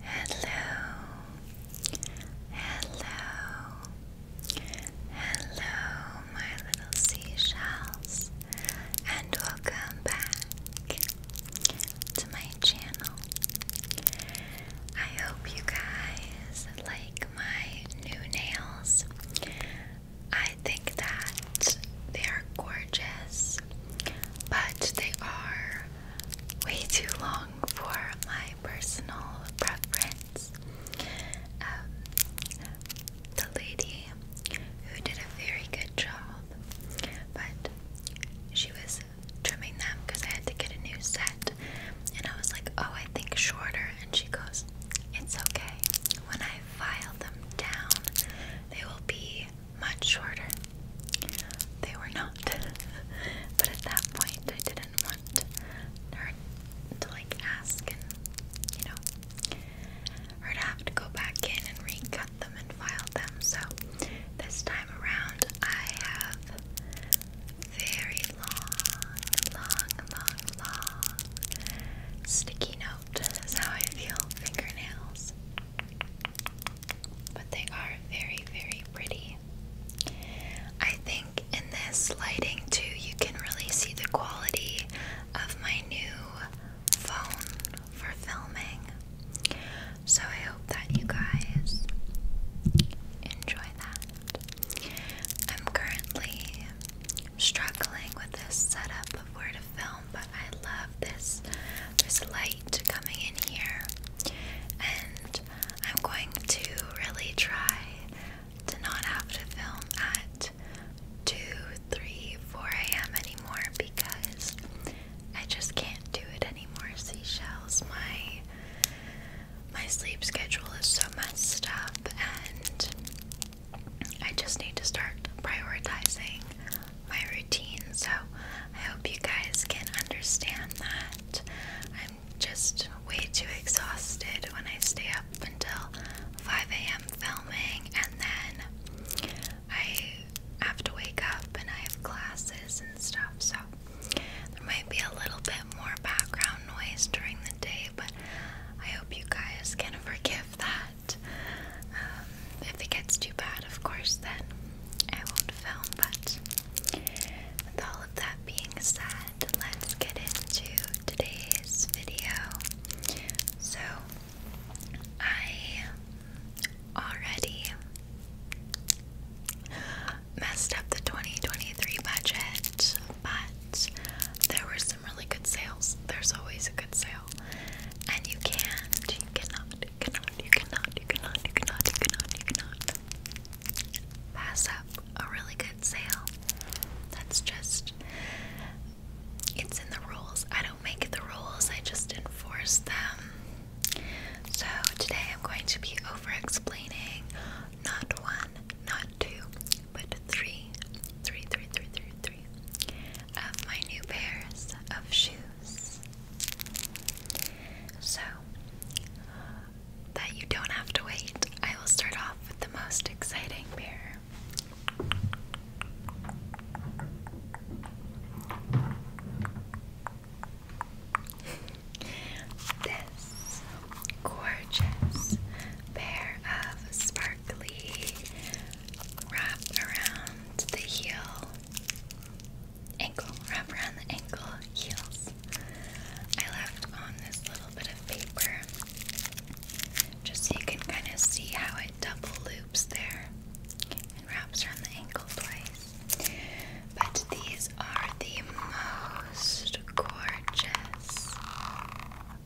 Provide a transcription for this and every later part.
Hello, hello, hello, my little seashells, and welcome back to my channel. I hope you guys like my new nails. I think that they are gorgeous, but they are way too long for my personal preference. Um, the lady who did a very good job, but she was trimming them because I had to get a new set, and I was like, "Oh, I think shorter," and she goes, "It's okay. When I file them down, they will be much shorter. They were not. but at that point, I didn't want her to like ask and, you know, her to have to go back in and recut them and file them. So this time around, I have very long, long, long, long sticky note. how I feel fingernails. But they are very, very pretty. I think in this lighting too, you can really see the quality of my new phone for filming. So I hope that you guys enjoy that. I'm currently struggling with this setup of where to film, but I love this this light light coming in here, and I'm going to really try to not have to film at 2, 3, 4 a.m. anymore because I just can't do it anymore. Seashells, my my sleep schedule is so messed up, and I just need to start prioritizing my routine. So I hope you guys can understand that. I'm just way too exhausted when I stay up until 5 a.m. filming and then I have to wake up and I have classes and stuff. So there might be a little bit more background noise during the day, but I hope you guys can forgive that. Um, if it gets too bad, of course, then I won't film, but with all of that being said, let's get into today's video. So, I already messed up the 2023 budget, but there were some really good sales. There's always a good sale, and you can't, you cannot, you cannot, you cannot, you cannot, you cannot, you cannot, you cannot pass up a really good sale. That's just, it's in the rules. I don't make the rules, I just enforce them. So today I'm going to be over explaining not one, not two, but three, three, three, three, three, three of new pairs of shoes. So that you don't have to wait, I will start off with the most exciting pair. this gorgeous pair of sparkly wrap around the heel ankle, wrap around the ankle heels. I left on this little bit of paper just so you can kind of see how it double loops there and wraps around the ankle twice. But these are the most gorgeous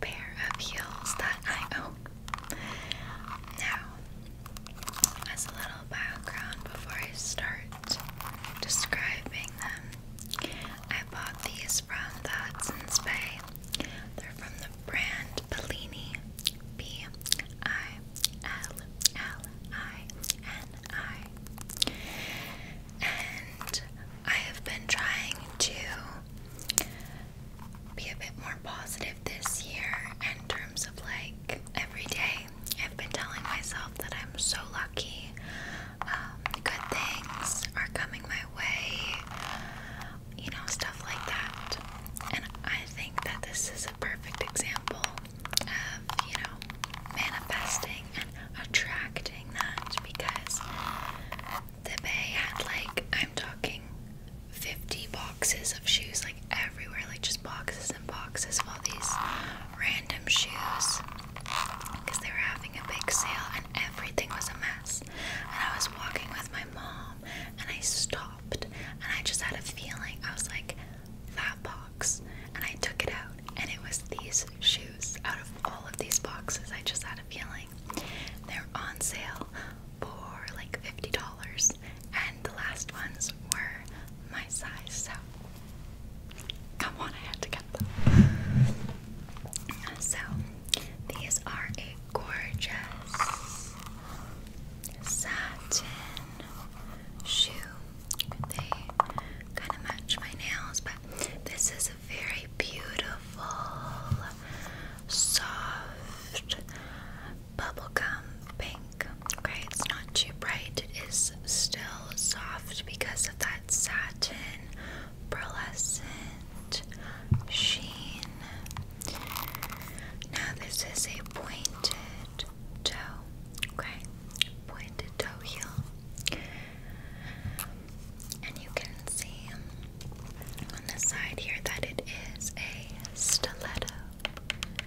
pair of heels that I own. Now, as a little background before I start describing them, I bought these from the Hudson's Bay. They're from the brand Bellini. B I L L I N I. And I have been trying to be a bit more positive this year in terms of like every day. I've been telling myself that I'm so lucky. Um, good things are coming my way. You know, stuff like that. And I think that this is a perfect example of, you know, manifesting and attracting that because the bay had like, I'm talking 50 boxes of shoes like everywhere, like just boxes and boxes of all these random shoes because they were having a big sale and everything was a mess. And I was walking with my mom and I stopped and I just had a feeling. I was like, that box. And I took it out and it was these shoes out of all of these boxes. I just had a feeling. They're on sale for like $50 and the last ones were my size, so come on, I had to get them. So, these are a gorgeous satin shoe. They kind of match my nails, but this is a very beautiful, soft, bubblegum pink. Okay, it's not too bright. It is still soft because of that satin pearlescent sheen. Now this is a pointed toe. Okay, pointed toe heel. And you can see on the side here that it is a stiletto.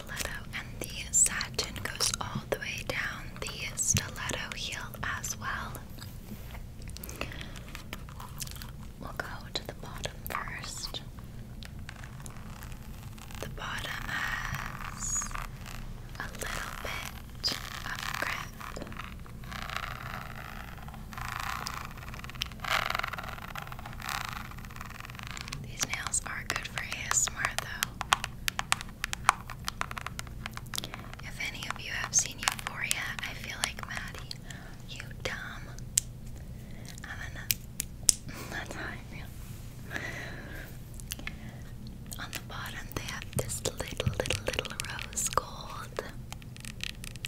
stiletto, and the satin goes all the way down the stiletto heel as well. We'll go to the bottom first. The bottom has a little bit of grip. These nails are good for ASMR though. If any of you have seen Euphoria, I feel like Maddie, you dumb. I'm gonna. That's how I feel. On the bottom, they have this little, little, little rose gold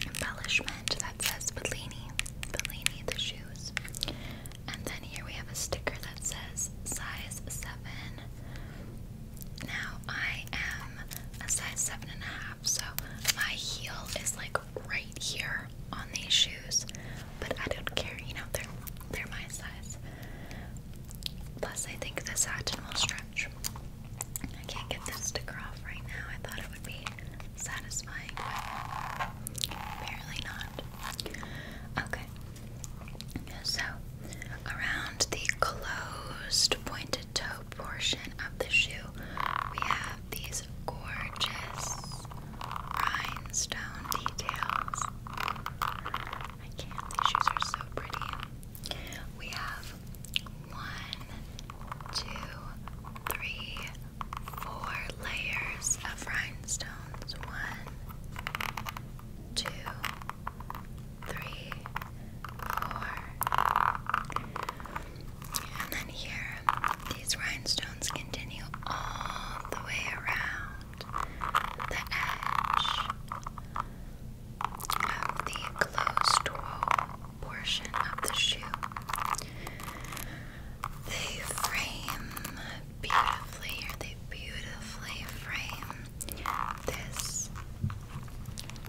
embellishment that says Bellini, Bellini the shoes. And then here we have a sticker that says size 7. Now I am a size seven and a half, so my heel is like right here on these shoes, but I don't care, you know, they're they're my size. Plus I think the satin will stretch. I can't get this sticker off right now. I thought it would be satisfying, but apparently not. Okay. So, around the closed pointed toe portion of the shoe, we have these gorgeous rhinestone details. I can't, these shoes are so pretty. We have one, two, three, four layers of rhinestone rhinestones. One, two, three, four. And then here, these rhinestones continue all the way around the edge of the closed toe portion of the shoe. They frame beautifully, or they beautifully frame this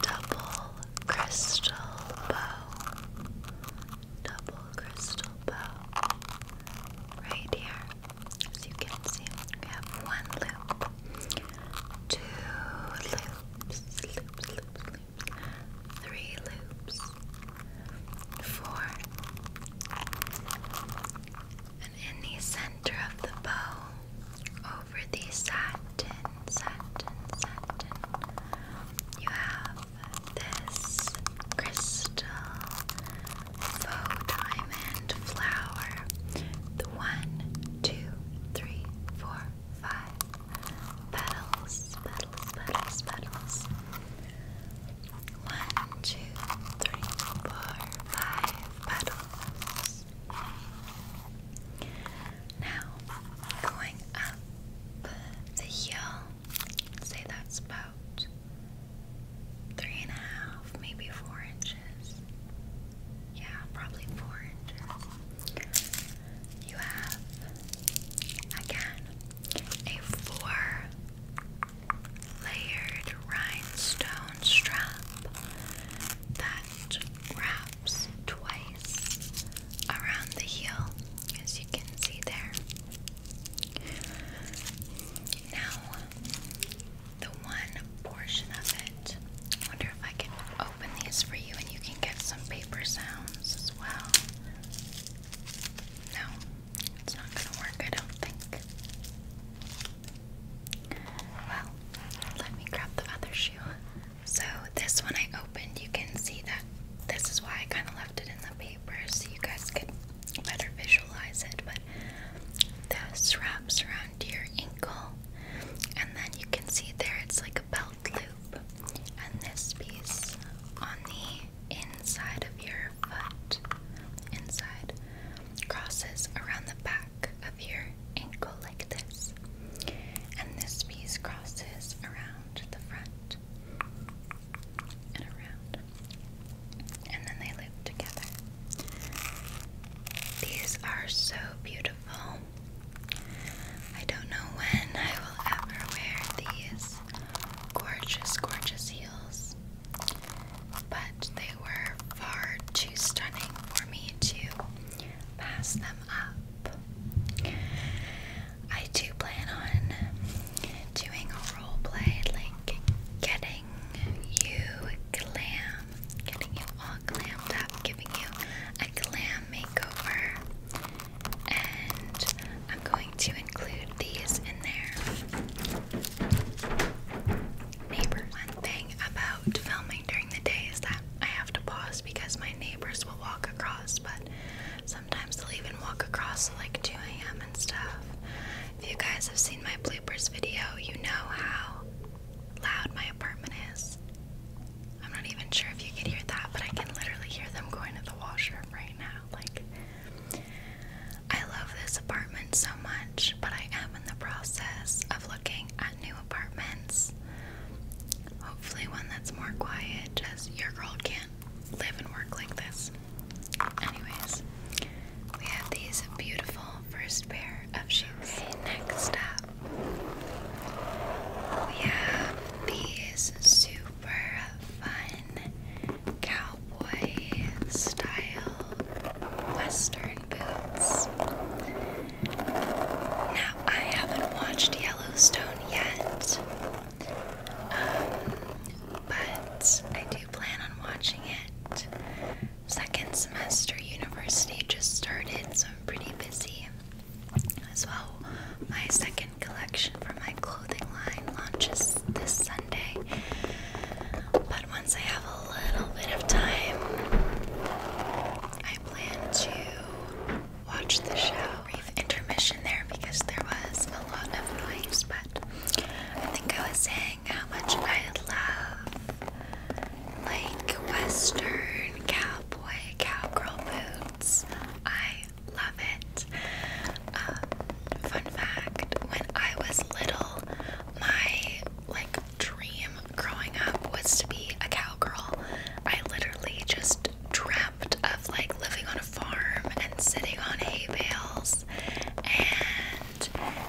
double crystal bow. Double crystal bow. Right here. As you can see, we have one loop, two loops, loops, loops, loops, three loops, four. And in the center of the bow, over the satin, satin, satin, you have this crystal faux diamond flower. The one, two, three, four, five petals, petals, petals, petals. One, two, three, four, five petals. Now, going up the heel, say that's about three and a half, maybe four inches. Yeah, probably four inches. You have, again, a four layered rhinestone strap that wraps twice around the heel, as you can see there. Now, the one portion of it, wonder if I can open these for you and you can get some paper sounds as well. No. It's not gonna work, I don't think. Well, let me grab the other shoe. So, this one I opened, you can see that this is why I kind of left it in the paper so you guys could better visualize it. But this wraps around your ankle, and then you can see there it's like a belt loop, and this piece on the inside of your foot, inside, crosses around the back of your ankle like this, and this piece crosses around the front and around, and then they loop together. These are so beautiful. I don't know when I will ever wear these gorgeous, gorgeous heels, but they were far too stunning for me to pass them up. I do plan on doing a role play, like getting you glam, getting you all glammed up, giving you a glam makeover, and I'm going to include these in there. Neighbor. One thing about filming during the day is that I have to pause because my neighbors will walk across, but sometimes they'll even walk across like 2 a.m. and stuff. If you guys have seen my bloopers video, you know how loud my apartment is. I'm not even sure if you could hear that, but I can literally hear them going to the washroom right now. Like, I love this apartment so much, but I am in the process of looking at new apartments. Hopefully, one that's more quiet, just your girl can't live and work like this. Anyways, we have these beautiful first pair of shoes. Next up, we have these suit super fun cowboy style western boots. Now, I haven't watched Yellowstone yet, um, but I do plan on watching it. Second semester university just started, so I'm pretty busy as well. My second collection for my clothing line launches this Sunday. But once I have a little bit of time, I plan to watch the show. Brief intermission there because there was a lot of noise, but I think I was saying how much I love like Western cowboy, cowgirl boots. I Love it. Um, fun fact when I was little, my like dream growing up was to be a cowgirl. I literally just dreamt of like living on a farm and sitting on hay bales and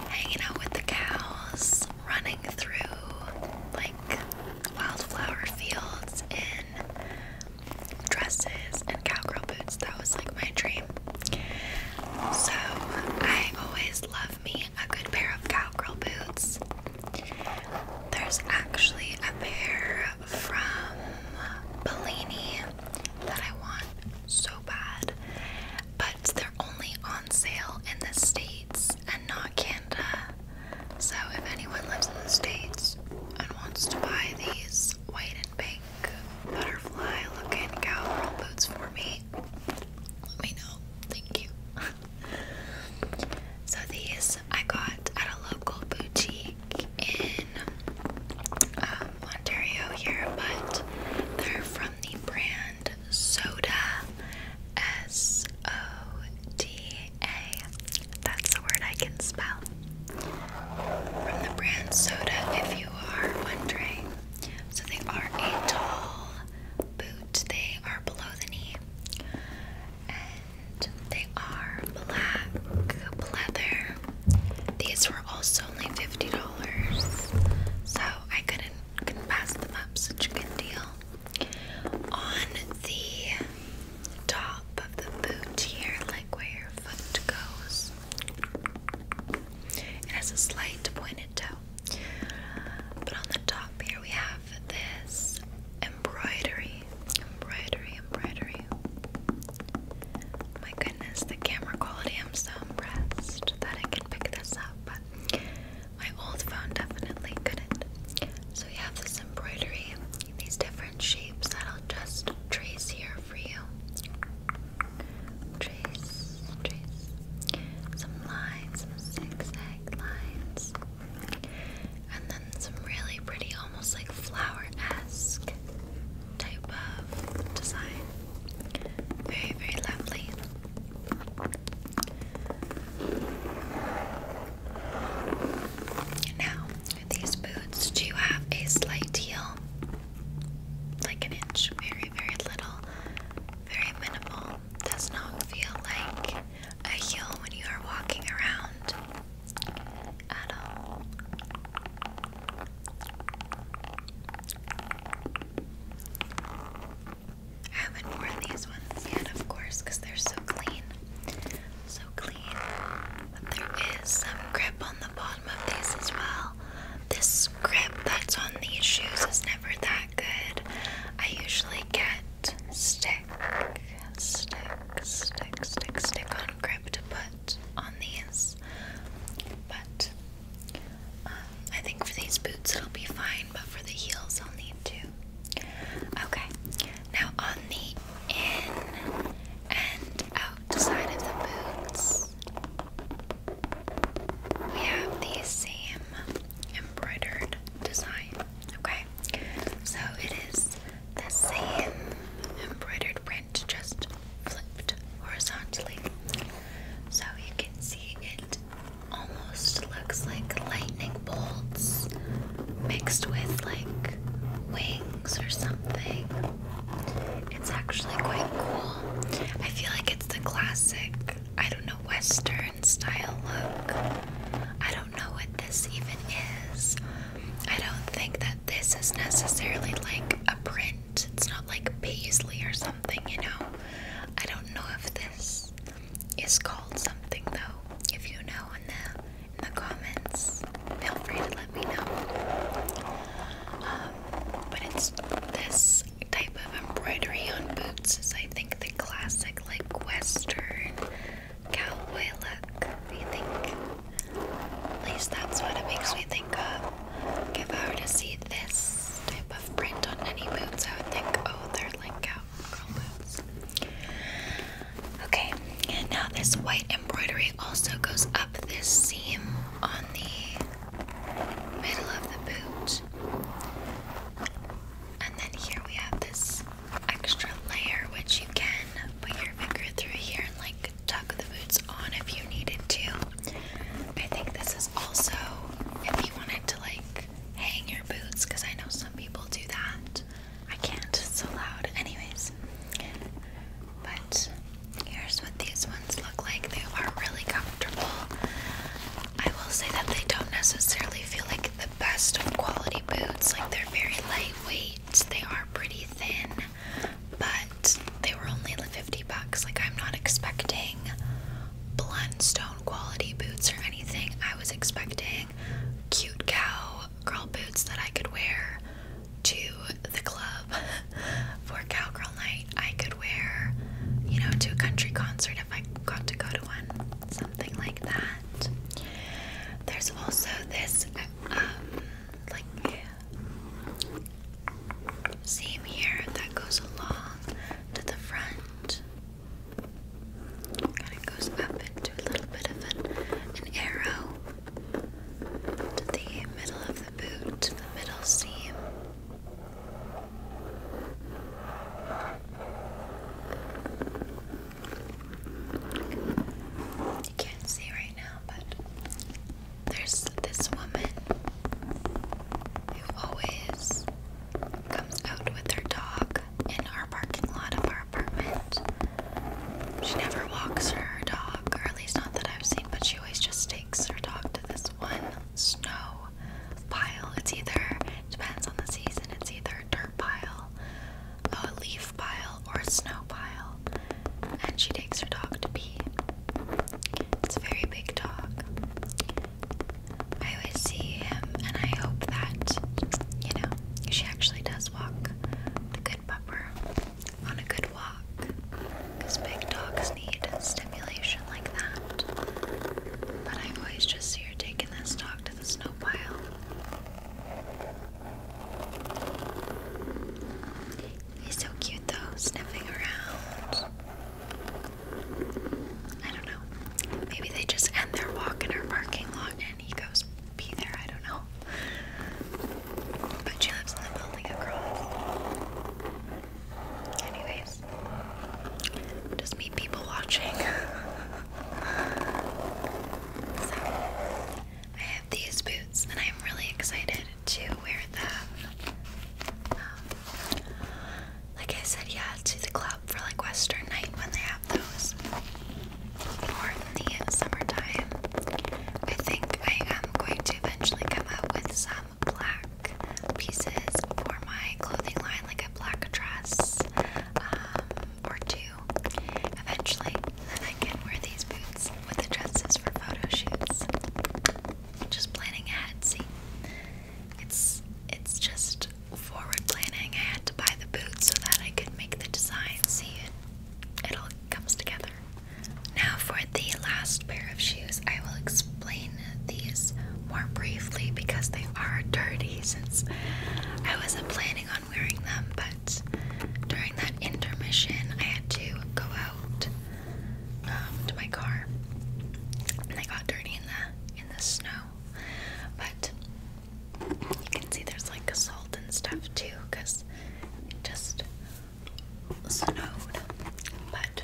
hanging out with the cows, running through like wildflower fields in dresses and cowgirl boots. That was like my dream. So I always love me a good pair of cowgirl boots. There's actually a pair from Bellini that I want so bad, but they're only on sale in the States and not Canada. So if anyone lives in the States and wants to buy these, wait pink butterfly looking cowgirl boots for me, let me know. Thank you. so these I got at a local boutique in um, Ontario here, but they're from the brand Soda S O D A. That's the word I can spell. From the brand Soda, if you are wondering. So they are a tall boot, they are below the knee. And they are black leather. These were also only $50. So I couldn't, pass them up. Such a good deal. On the top of the boot here, like where your foot goes. It has a slight pointed toe. But on the top here, we have this embroidery. Embroidery, embroidery. My goodness, the camera quality, I'm so impressed that I can pick this up. But my old phone definitely couldn't. So, you have this embroidery, these different shapes that I'll just trace here for you. Trace, trace some lines, zigzag lines, and then some really pretty, almost like flower esque type of design. Very, very lovely. Now, these boots do you have a slight heel, like an inch, very, very little, very minimal. Does not feel like a heel when you are walking around at all. I haven't worn these ones yet, of course, because they're so clean so clean. But there is some grip on the bottom of these as well. This grip that's on these shoes is never that good. I usually get stick, stick, stick, stick, stick on grip to on these. But um, I think for these boots it'll be fine, but for the heels I'll need to. Okay, now on the in and out design of the boots. We have the same embroidered design. Okay, so it is the same embroidered print, just flipped horizontally. So you can see it almost looks like lightning bolts mixed with like wings or something. It's actually quite cool. I feel like it's the classic, I don't know, Western style look. I don't know what this even is. I don't think that this is necessarily like a print. It's not like paisley or something, you know. I don't know if this is called something though. If you know in the in the comments. Feel free to let me know. Um, but it's this type of embroidery on boots is, I think, the classic, like, Western cowboy look. I think. At least that's what it makes me think of. If I were to see this type of print on any boots, I would think, oh, they're like cowgirl boots. Okay, and now this white embroidery also goes up this seam on the middle of the boot. And then here we have this extra layer which you can put your finger through here and like tuck the boots on if you needed to. I think this is also if you wanted to like hang your boots because I know some people do that. I can't, it's so loud. Anyways, but here's what these ones look like. They are really comfortable. I will say that they don't necessarily feel like the best of quality boots. Like they're very lightweight, they are pretty thin, but they were only like 50 bucks. Like I'm not expecting blundstone quality boots or anything. I was expecting cute cow girl boots that I could wear to the club for cowgirl night. I could wear, you know, to a country concert if I got to go to one, something like that. There's also this, uh, um, like, seam here that goes along to the front. and it goes up into a little bit of an, an arrow, to the middle of the boot, the middle seam. You can't see right now, but there's this woman who always comes out with her dog in our parking lot of our apartment. She never walks her dog, or at least not that I've seen, but she always just takes her dog to this one snow pile. It's either, depends on the season, it's either a dirt pile, a leaf pile, or a snow pile. And she takes her dog to pee. It's a very big dog. I always see him, and I hope that, you know, she actually does walk the good on a good walk because big dogs need stimulation like that. But I always just see taking this dog to the snow pile. He's so cute though, sniffing around. I don't know. Maybe they just end their walk in our parking lot and he goes be there, I don't know. But she lives in the building across. Anyways, just me people watching. I have these boots and I'm really excited to wear them. Um, like I said, yeah, to the club for like Western night when they those more the summertime. I think I am going to eventually come out with some black pieces for my clothing line, like a black dress um, or two. Eventually, then I can wear these boots with the dresses for photo shoots. Just planning ahead, see. It's it's just forward planning. I had to buy the boots so that I could make the design. See, it it all comes together. Now, for the last pair of shoes, I will explain these more briefly because they are dirty since I wasn't planning on wearing them, but during that intermission, I had to go out um, to my car and they got dirty in the in the snow. But you can see there's like salt and stuff too because it just snowed. But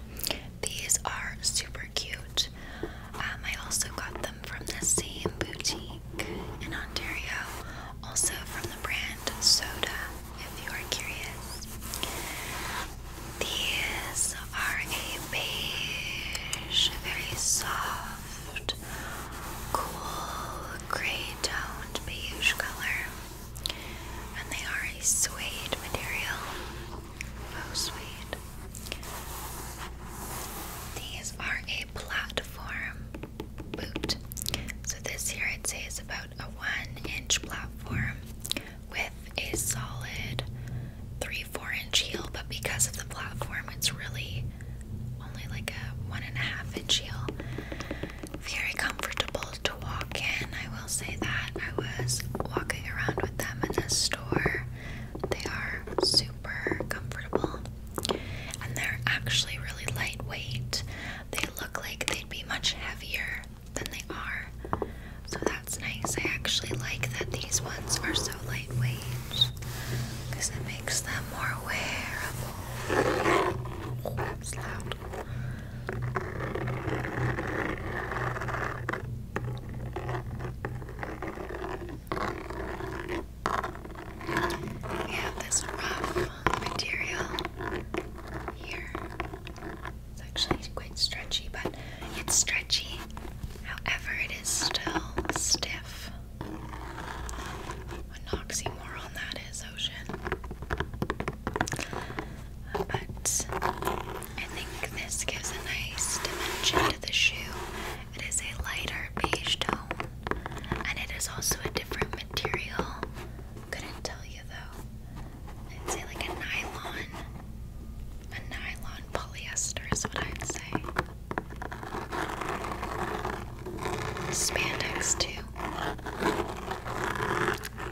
these are super cute. Um, I also got them from the same boutique in Ontario, also from the brand Soda, if you are curious. These are a beige, very soft cool gray toned beige color. And they are a suede material. Oh, sweet. These are a platform boot. So, this here I'd say is about a one inch platform with a solid three, four inch heel. But because of the platform, it's really only like a one and a half inch heel. Very comfortable to walk in, I will say that. I was walking around with them in the store. They are super comfortable and they're actually really lightweight. They look like they'd be much heavier than they are. So that's nice. I actually like that these ones are so lightweight because it makes them more wearable. We have this rough material here. It's actually quite stretchy, but it's stretchy. However, it is still stiff. An oxymoron that is, Ocean. But I think this gives a nice dimension to the shoe. It is a lighter beige tone, and it is also a different material. Couldn't tell you though. I'd say like a nylon. A nylon polyester is what I'd say. Spandex, too.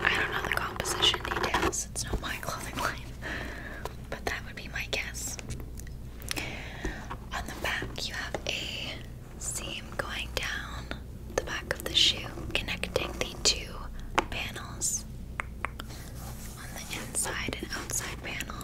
I don't know the composition details, it's not my clothing line, but that would be my guess. On the back, you have a seam going down the back of the shoe, connecting the two panels on the inside and outside panel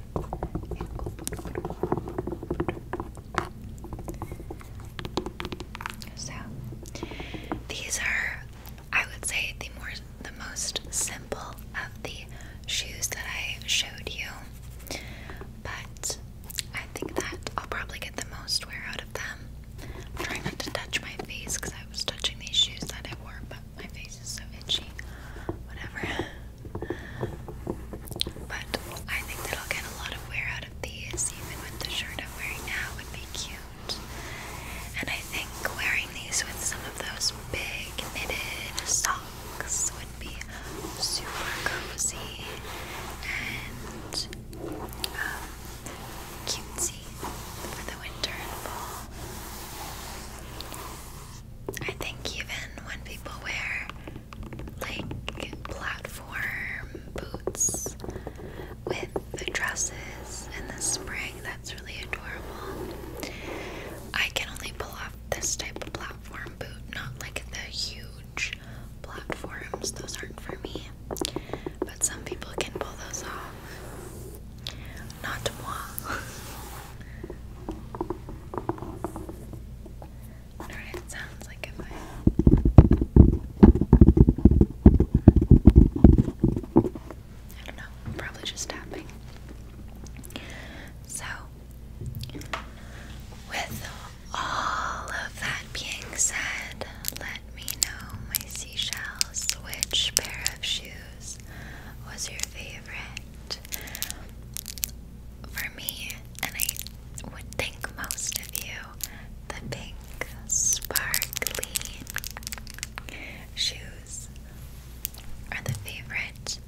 so these are I would say the more the most simple of the shoes that I showed you. But I think that I'll probably get the most wear out of them. I'm trying not to touch my face because I was touching these shoes that I wore, but my face is so itchy. Whatever. But I think that I'll get a lot of wear out of these, even with the shirt I'm wearing now would be cute. And I think wearing these with some of those big knitted socks would be super cozy and um, cutesy for the winter and fall. I think even when people wear like platform boots with the dresses in the spring, that's really adorable. I can only pull off this type of platform boot, not like the huge platforms, those aren't for me. But some people can pull those off. Not moi. I it sounds like if I. I don't know. probably just tapping. So, with all of that being said, let me know my seashells. Which pair of shoes was your favorite? for me, and I would think most of you, the pink sparkly shoes are the favorite.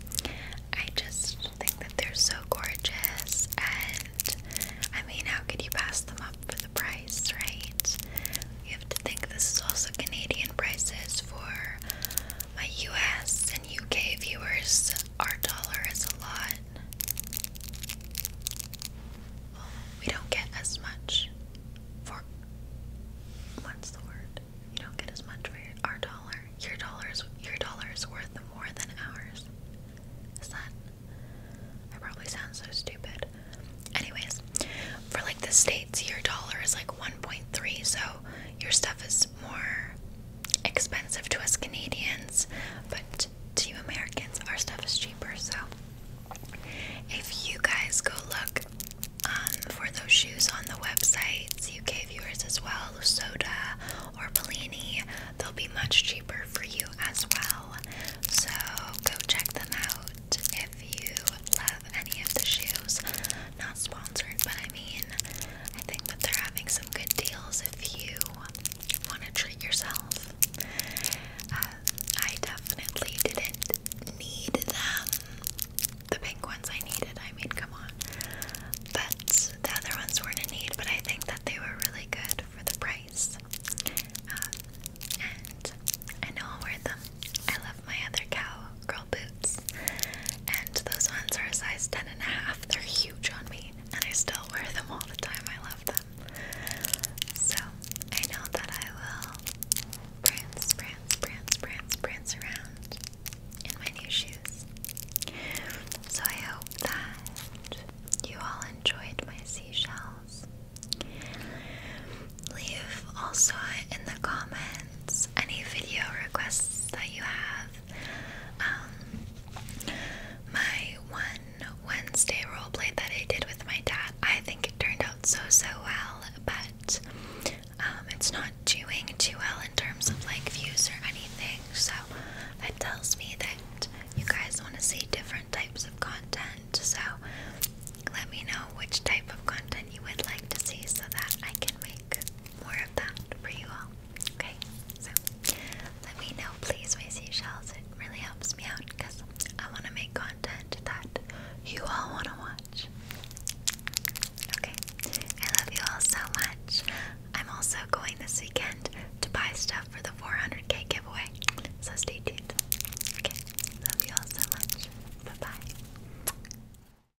I just think that they're so gorgeous, and I mean, how could you pass them up for the price, right? You have to think this is also Canadian prices for my US and UK viewers, our dollar is a lot. we don't get as much for. What's the word? You don't get as much for your, our dollar. Your dollars, your dollar is worth more than ours. Is that? I probably sound so stupid. Anyways, for like the states, your dollar is like 1.3, so your stuff is more expensive to us Canadians, but to you Americans, our stuff is cheaper. So if you guys go look um, for those shoes on the websites, UK viewers as well, Soda or Bellini, they'll be much cheaper for you as well. So go check them out if you love any of the shoes not sponsored, but I mean, I think that they're having some good deals if you want to treat yourself. Uh, I definitely didn't need them. The pink ones I needed, I mean, come on. But the other ones weren't in need, but I think that they were really good for the price. Uh, and I know I'll wear them. I love my other cow girl boots. And those ones are a size 10 and a half. They're huge on me, and I still wear them all the time. I love them. So I know that I will prance, prance, prance, prance, prance around in my new shoes. So I hope that you all enjoyed my seashells. Leave also in the comments any video requests that you have. Um, my one Wednesday roleplay that I did with my dad, I think it turned out so so well, but um, it's not doing too well in terms of like views or anything. So that tells me that you guys want to see different types of content. So let me know which type of content you would like to see so that I can make more of that for you all. Okay, so let me know, please, my seashells. It really helps me out because I want to make content that you all want to watch. Okay, I love you all so much. I'm also going this weekend to buy stuff for the 400k giveaway, so stay tuned. Okay, love you all so much. Bye bye.